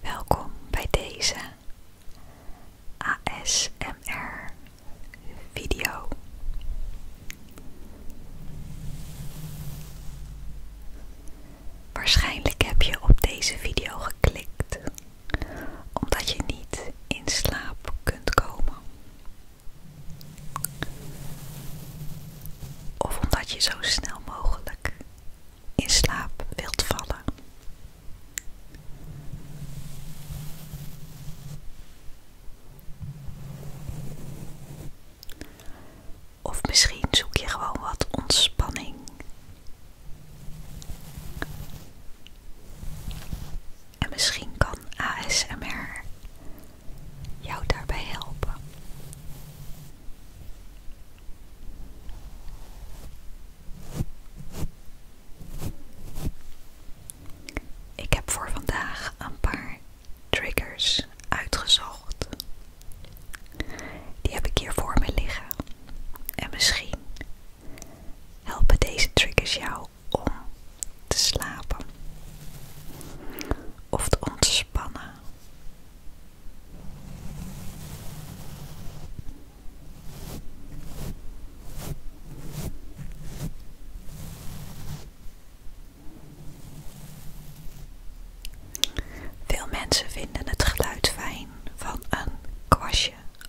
Welkom bij deze ASMR video. Waarschijnlijk heb je op deze video geklikt omdat je niet in slaap kunt komen. Of omdat je zo snel mogelijk in slaap wilt vallen. Of misschien zoek je gewoon wat ontspanning en misschien kan ASMR jou daarbij helpen. Ik heb voor vandaag een paar triggers uitgezocht. Die heb ik hier voor me liggen. En misschien helpen deze triggers jou om te slapen of te ontspannen. Veel mensen vinden het geluid fijn van een kwastje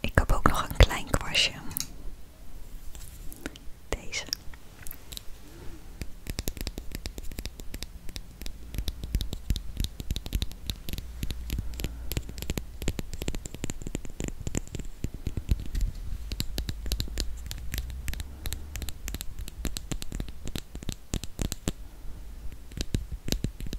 Ik heb ook nog een klein kwastje. Deze.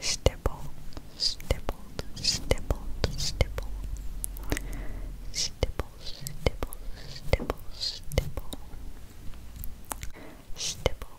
Stipple, stippled, stippled, stipple. Stipple, stipple, stipple, stipple. Stipple,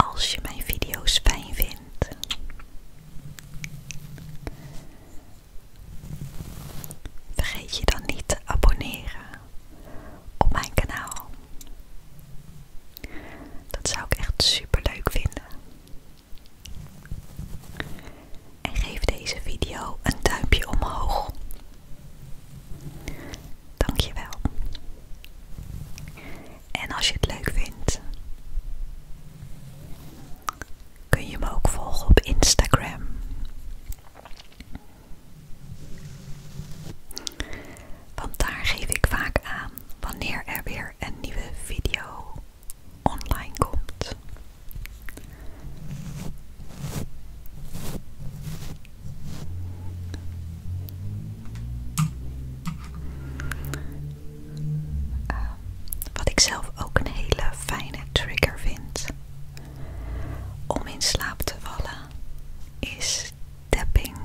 Als je mijn video's fijn vindt, vergeet je dan niet te abonneren op mijn kanaal. Dat zou ik echt super leuk vinden. En geef deze video een duimpje omhoog. Dankjewel. En als je het leuk vindt, kun je me ook volgen op Instagram. Want daar geef ik vaak aan wanneer er weer een nieuwe video online komt. Ehm, wat ik zelf ook een hele fijne trigger vind om in slaap te vallen, is tapping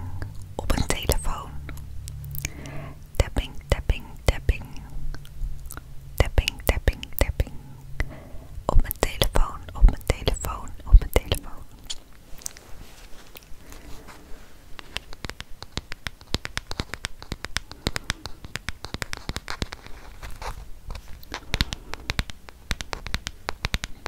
op een telefoon. Tapping, tapping, tapping. Tapping, tapping, tapping. Op mijn telefoon, op mijn telefoon, op mijn telefoon.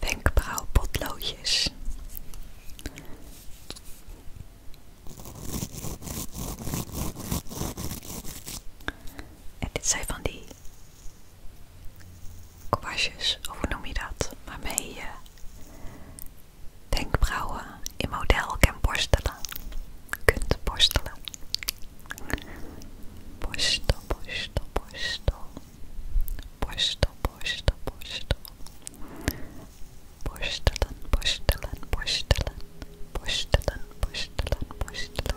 Wenkbrauwpotloodjes. En dit zijn van die kwastjes, of hoe noem je dat? Waarmee je wenkbrauwen in model kan borstelen. Kunt borstelen. Borstel, borstel, borstel. Borstel, borstel, borstel. Borstelen, borstelen, borstelen. Borstelen, borstelen, borstelen.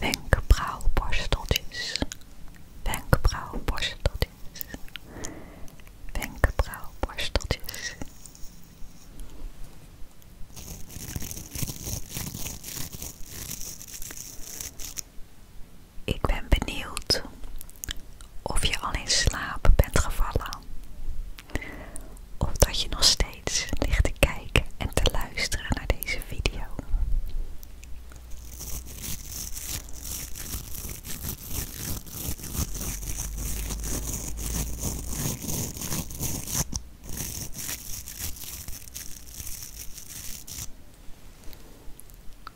Wenkbrauwborsteltjes, wenkbrauwborsteltjes, wenkbrauwborsteltjes. Ik ben benieuwd of je al in slaap bent gevallen. Of dat je nog steeds ligt te kijken en te luisteren naar deze video.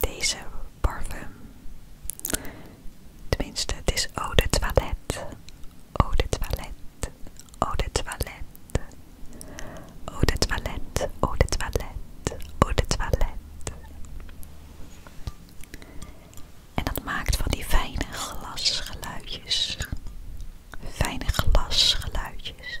Deze parfum, tenminste, dit is eau de toilette, eau de toilette, eau de toilette, eau de toilette, eau de toilette, eau de toilette, en dat maakt van die fijne glasgeluidjes. Fijne glasgeluidjes.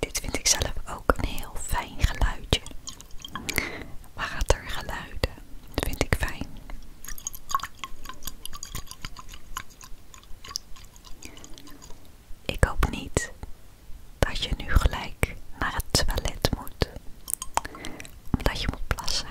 Dit vind ik zelf ook een heel fijn geluidje. Watergeluiden vind ik fijn. Ik hoop niet dat je nu gelijk naar het toilet moet, omdat je moet plassen.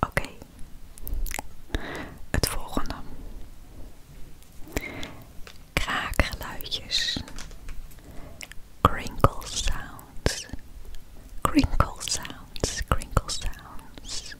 Oké, het volgende. Kraakgeluidjes. Crinkle sounds. Crinkle sounds. Crinkle sounds.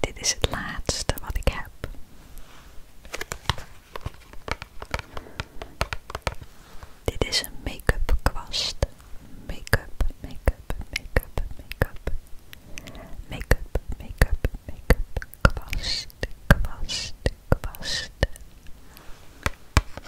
Dit is het laatste wat ik heb. Dit is een make-up kwast. Make-up, make-up, make-up, make-up. Make-up, make-up, make-up. Kwast, kwast, kwast.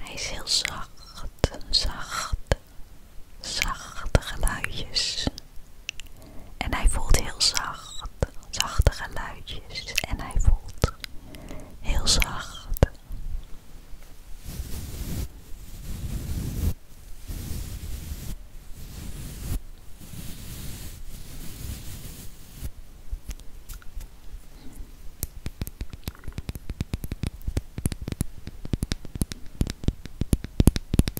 Hij is heel zacht, zacht, zachte geluidjes. En hij voelt heel zacht, zachte geluidjes. En hij voelt heel zacht.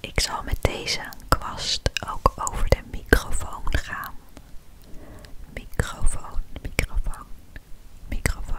Ik zal met deze kwast ook over de microfoon gaan. Microfoon, microfoon, microfoon.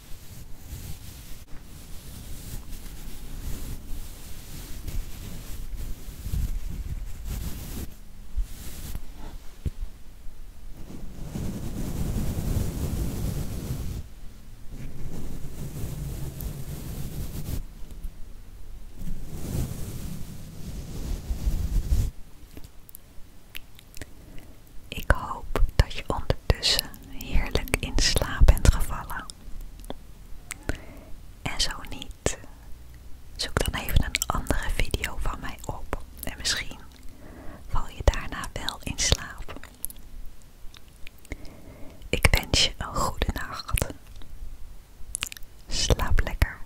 Ik hoop dat je onder dus heerlijk in slaap bent gevallen. En zo niet, zoek dan even een andere video van mij op en misschien val je daarna wel in slaap. Ik wens je een goede nacht. Slaap lekker.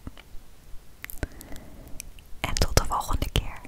En tot de volgende keer.